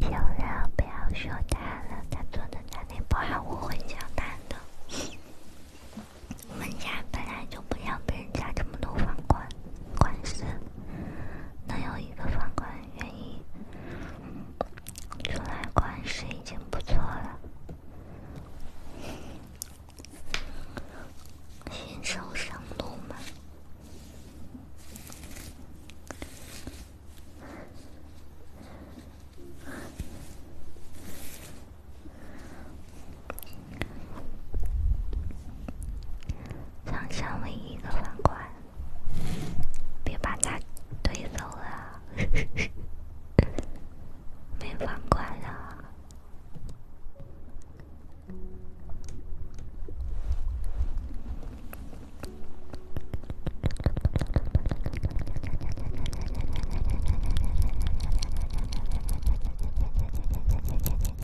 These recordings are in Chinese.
小六，不要说他了，他做的家庭不好，我会教他的。我们家本来就不像别人家这么多房款。管事，能有一个房管愿意出来管事已经不错了。新手上路嘛。长沙唯一个房管，别把他推走了，没房管了。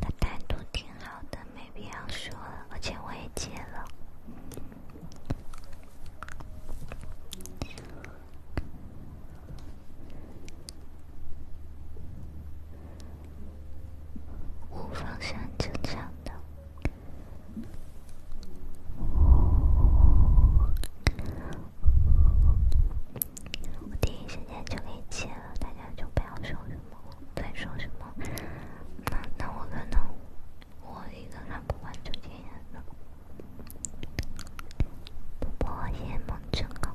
他态度挺好的，没必要说了。而且我也接了。无方向正常的，我第一时间就给切了，大家就不要说什么在说什么。那那我那那我一个看不完整点演的，不播也莫准啊。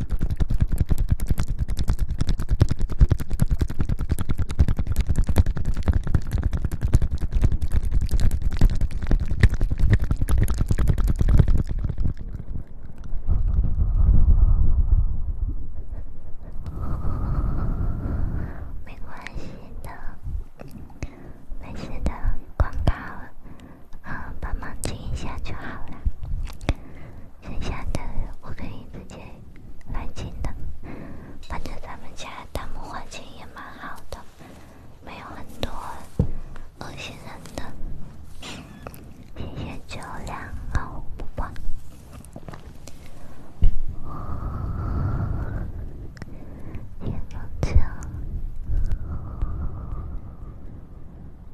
没关系的，没事的，广告，帮忙停一下就好了。剩下的我可以直接还钱的，反正咱们家弹幕环境也蛮好的，没有很多恶心人的。谢谢九两，让我不挂。天哪！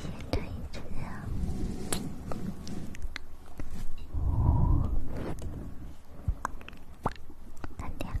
先等一等。哦，太甜了，太甜了。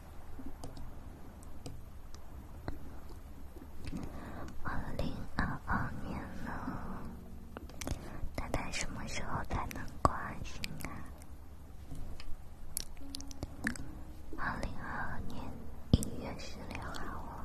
二零二二年了，它在什么时候才能挂新啊？二零二二年一月十六号。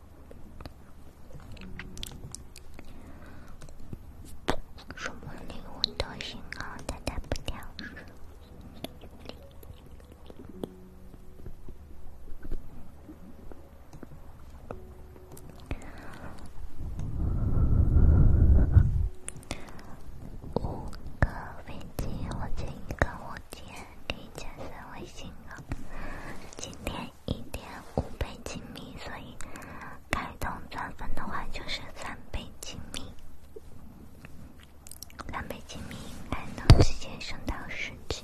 什么礼物都行啊，但带不掉。五个飞机，我借一个，我借。可以加私微信了。今天一点五倍亲密，所以开通钻粉的话就是三倍亲密，三倍亲密还能直接升到十级。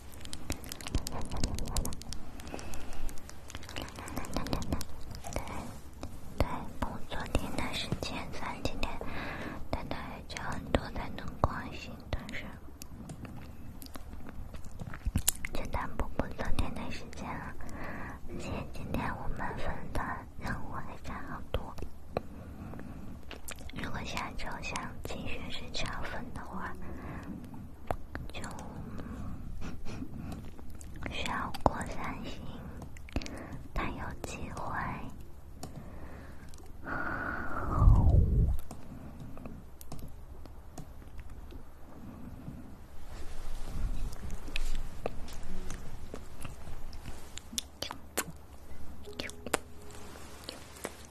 对，昨天的是前三，今天，但他还差很多才能过但是，简单不？昨天的时间，而且今天我们分的任务还差好多。如果下周想进学生超分的话，就需要过三星，但有机会。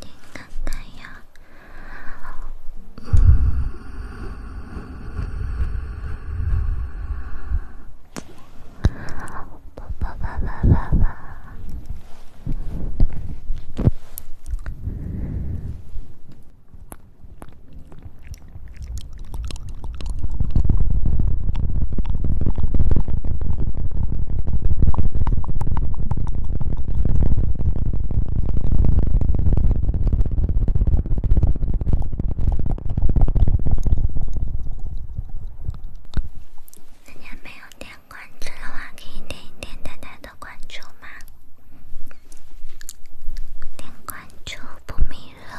你看看呀，叭叭叭叭叭叭。大家没有点关注的话，可以点一点大家的关注吗？点关注不迷路。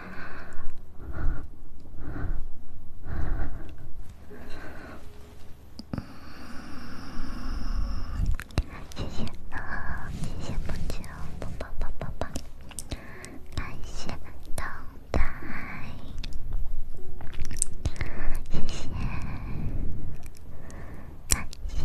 谢谢，谢谢木木，抱抱抱抱抱，感谢动态，谢谢，感谢。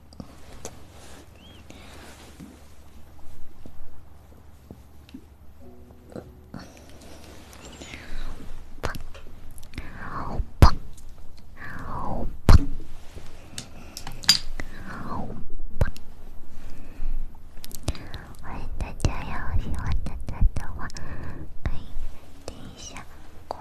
好棒，好棒，好棒！欢迎大家哟，喜欢点赞的话可以点一下关。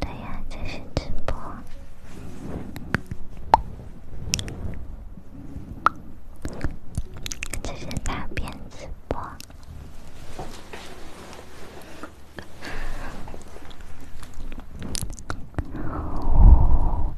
对呀，这是直播，这是单边直播。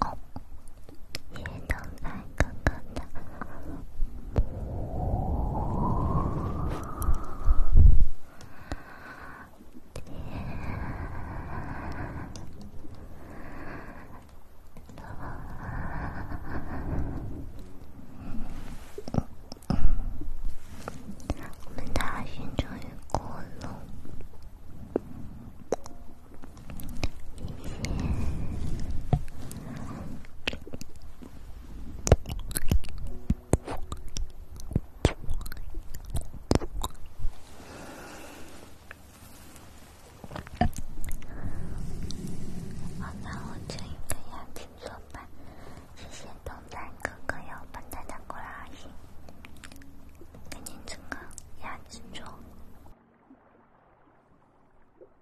哦，夜灯在哥哥的，我们的海星终于过了。好，那我就一个鸭子坐吧。谢谢东山哥哥有本蛋的过来，给您整个鸭子坐。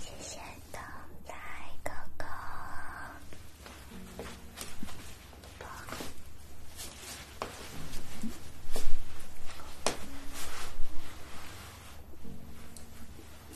谢谢等待哥哥。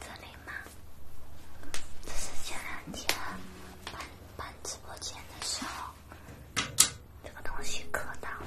这里吗？这是前两天搬搬直播间的时候，这个东西可大了。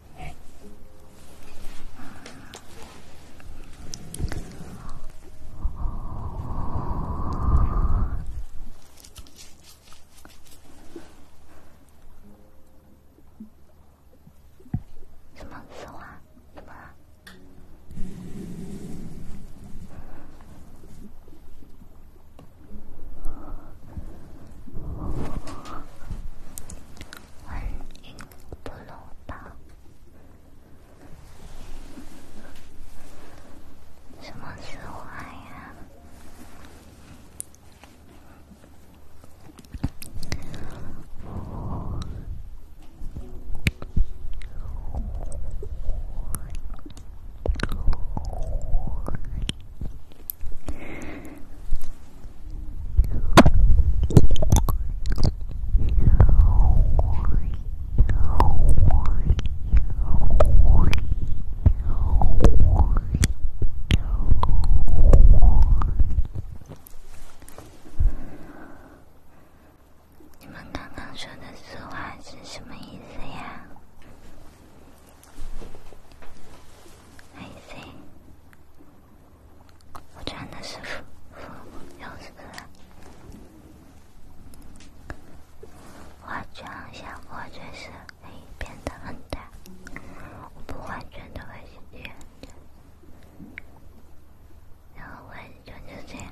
什么丝袜？怎么了？欢迎，不落吧？什么词汇呀？你们刚刚说的私话是什么意思呀？还行，化妆的师傅，老师傅了。化妆效果确实可以变得很大，我不化妆都会显得很假，然后我化妆就这样。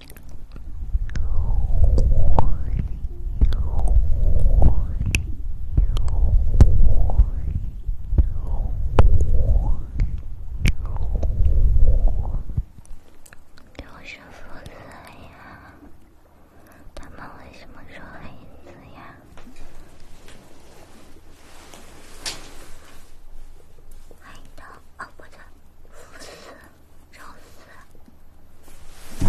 又是浮色呀？他们为什么说黑子呀？愁死！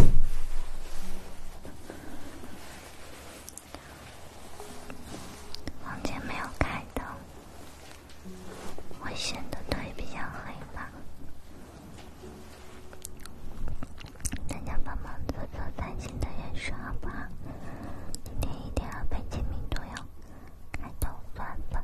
房间没有开灯，会显得腿比较黑吧？大家帮忙做做三星的面试好不好？今天一定要被精明多哟！开头算吧。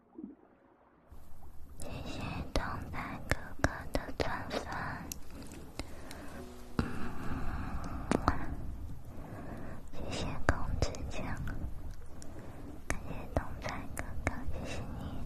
谢谢东仔哥哥的赞粉，谢谢公子强，感谢东仔哥哥，谢谢你。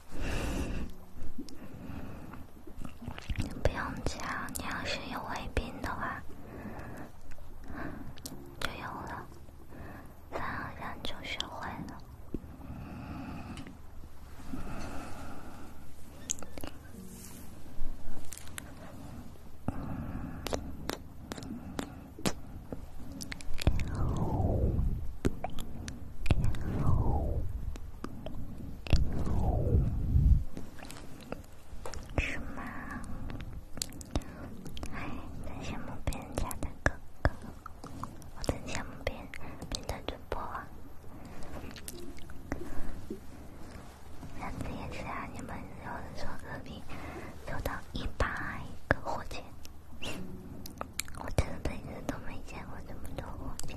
不用教，你要是有胃病的话，就有了；反而让就学会了。是吗？哎，真羡慕别人家的哥哥，我真羡慕别别的主播啊！上次也是啊，你们有人说隔壁抽到一百个火箭，我真的一直都没见过这么多火箭。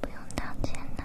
不用道歉的。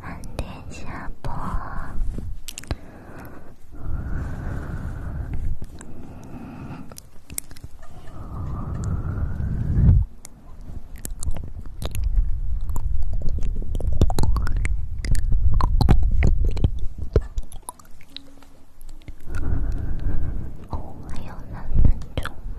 晚点下播，哦，还有三分钟吗？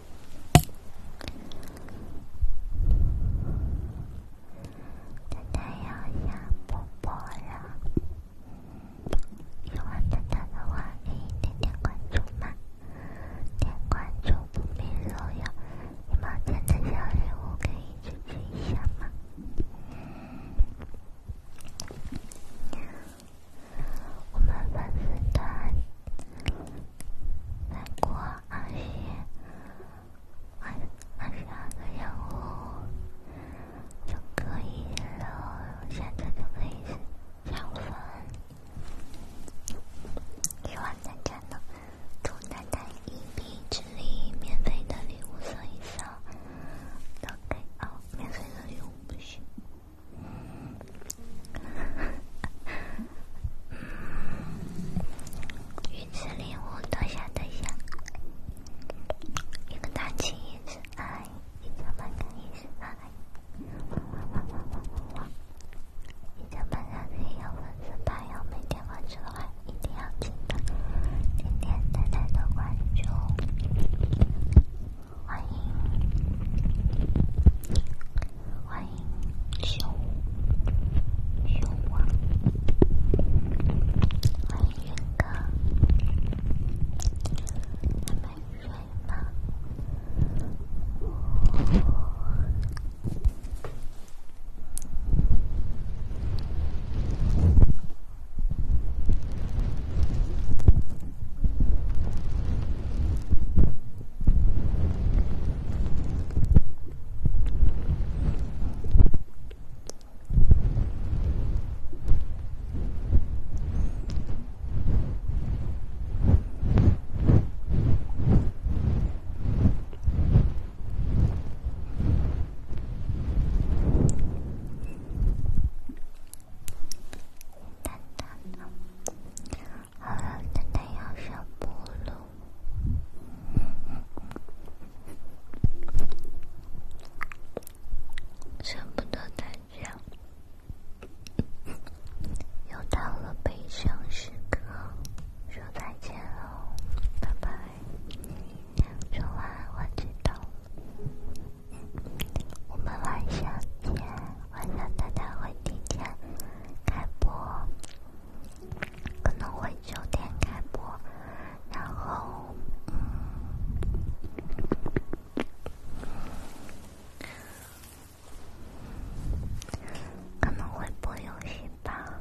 太阳下坡了，喜欢大大的话，可以点点关注吗？点关注不迷路哟！一毛钱的小礼物可以支持一下吗？我们粉丝团，二十二二十二个任务就可以了，现在就可以上分。希望大家能助奶奶一臂之力，免费的礼物送一送，都可以啊，免费的礼物不需。鱼子礼物，等下等下，一个大金鱼子，嗨！一千万金鱼子，嗨！一千万金鱼有粉丝牌，有每天关注的，一定要记得！今天大家的关注，欢迎！欢迎熊熊啊！欢迎云哥，蛋蛋呢？好了，蛋蛋要上铺了。舍不得再见，又到了悲伤时刻，说再见喽，拜拜。说完，我知道，我们晚上见，晚上大家会听见开播。可能会九点开播，然后可能会播游戏吧。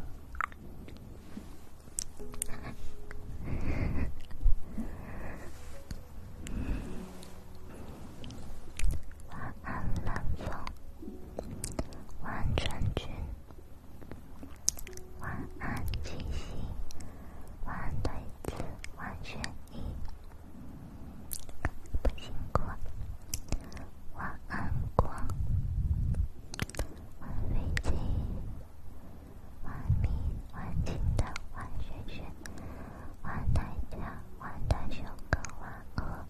晚安，南方。万春军，万安吉西，万瑞子，万轩逸，不辛苦。万安国，万飞金，万明，万金德，万轩轩，万泰江，万泰雄和万哥。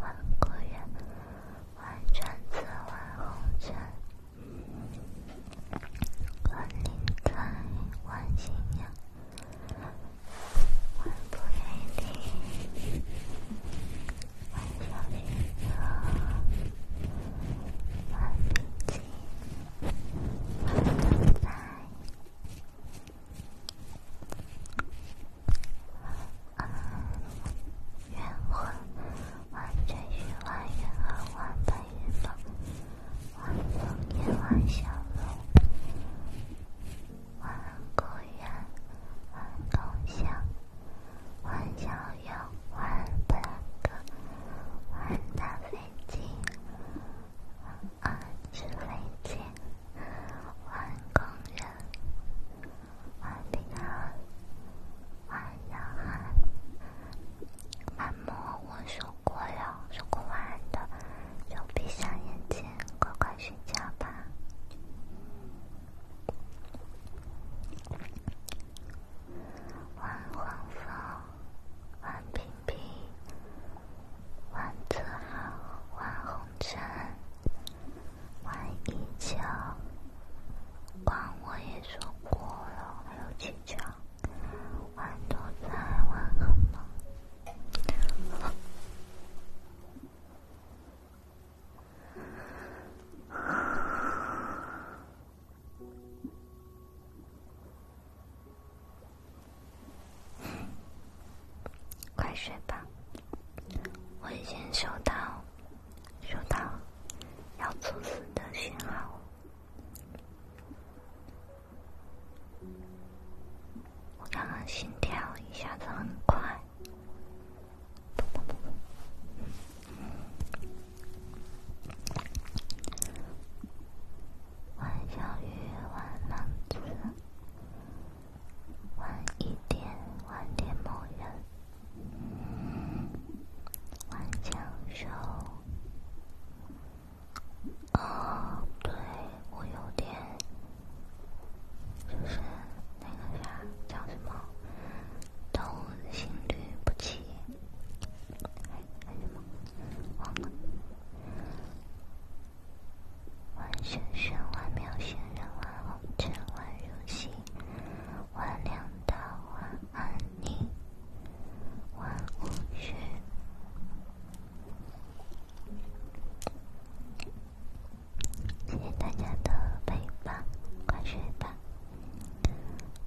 万古月，万卷字，万红尘，万灵胎，万新娘，万不美丽，万小幸福，万金钱，万自在。万圆环，万追寻，万圆环，万奔跑，万风烟，万小龙，万公园，万共享，万小友，万本科，万大飞机，万智慧机，万工人。晚安，晚安，阿嬷，我说过了，说过晚的，就闭上眼睛，乖乖睡觉吧。晚晚风，晚平平，晚得好，晚红尘。玩一枪，光我也说过了，还有几枪，玩都在，晚好吗？快睡吧，我已经收到。收到要猝死的信号，我刚刚心跳一下子很快，晚小雨，晚浪子，晚一点，晚点某人。万教授，哦，对，我有点，就是那个啥，叫什么，窦心律不齐，还什么，忘了。仙人，玩红尘，玩游戏。晚凉的晚安，你晚无语。谢谢大家的陪伴，快睡吧，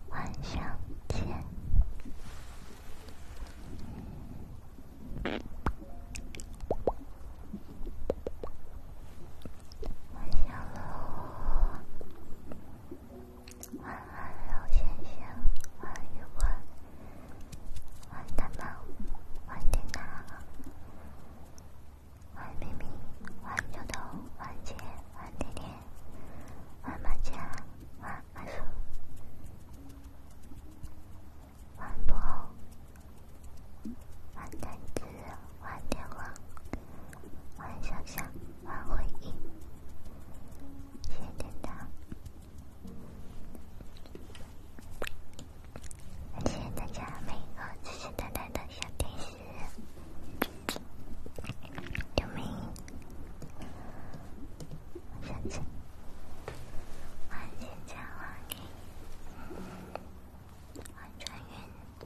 晚上见。晚安喽！晚安喽，先生！晚安，晚安，大猫，晚点呐，晚明明，晚牛牛，晚杰，晚甜甜，晚马甲，晚阿叔，晚波。换电池，换电话，换摄像，换回音。谢谢大家，谢谢大家每一个支持等待的小天使。刘明，小强，换剪彩花艺，换转运。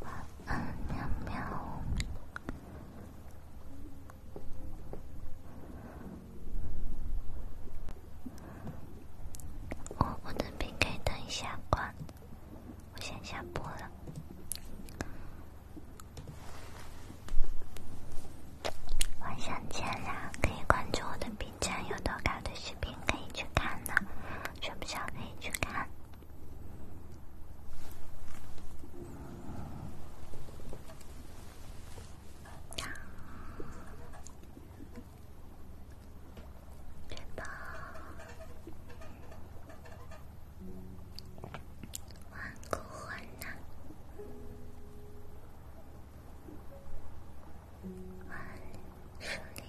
晚安，喵喵。我的 PK 等一下关，我先下播了。晚上见啦！可以关注我的频道，有多高的视频可以去看的，全部都可以去看。呀，绝棒！万古魂难，万世灵。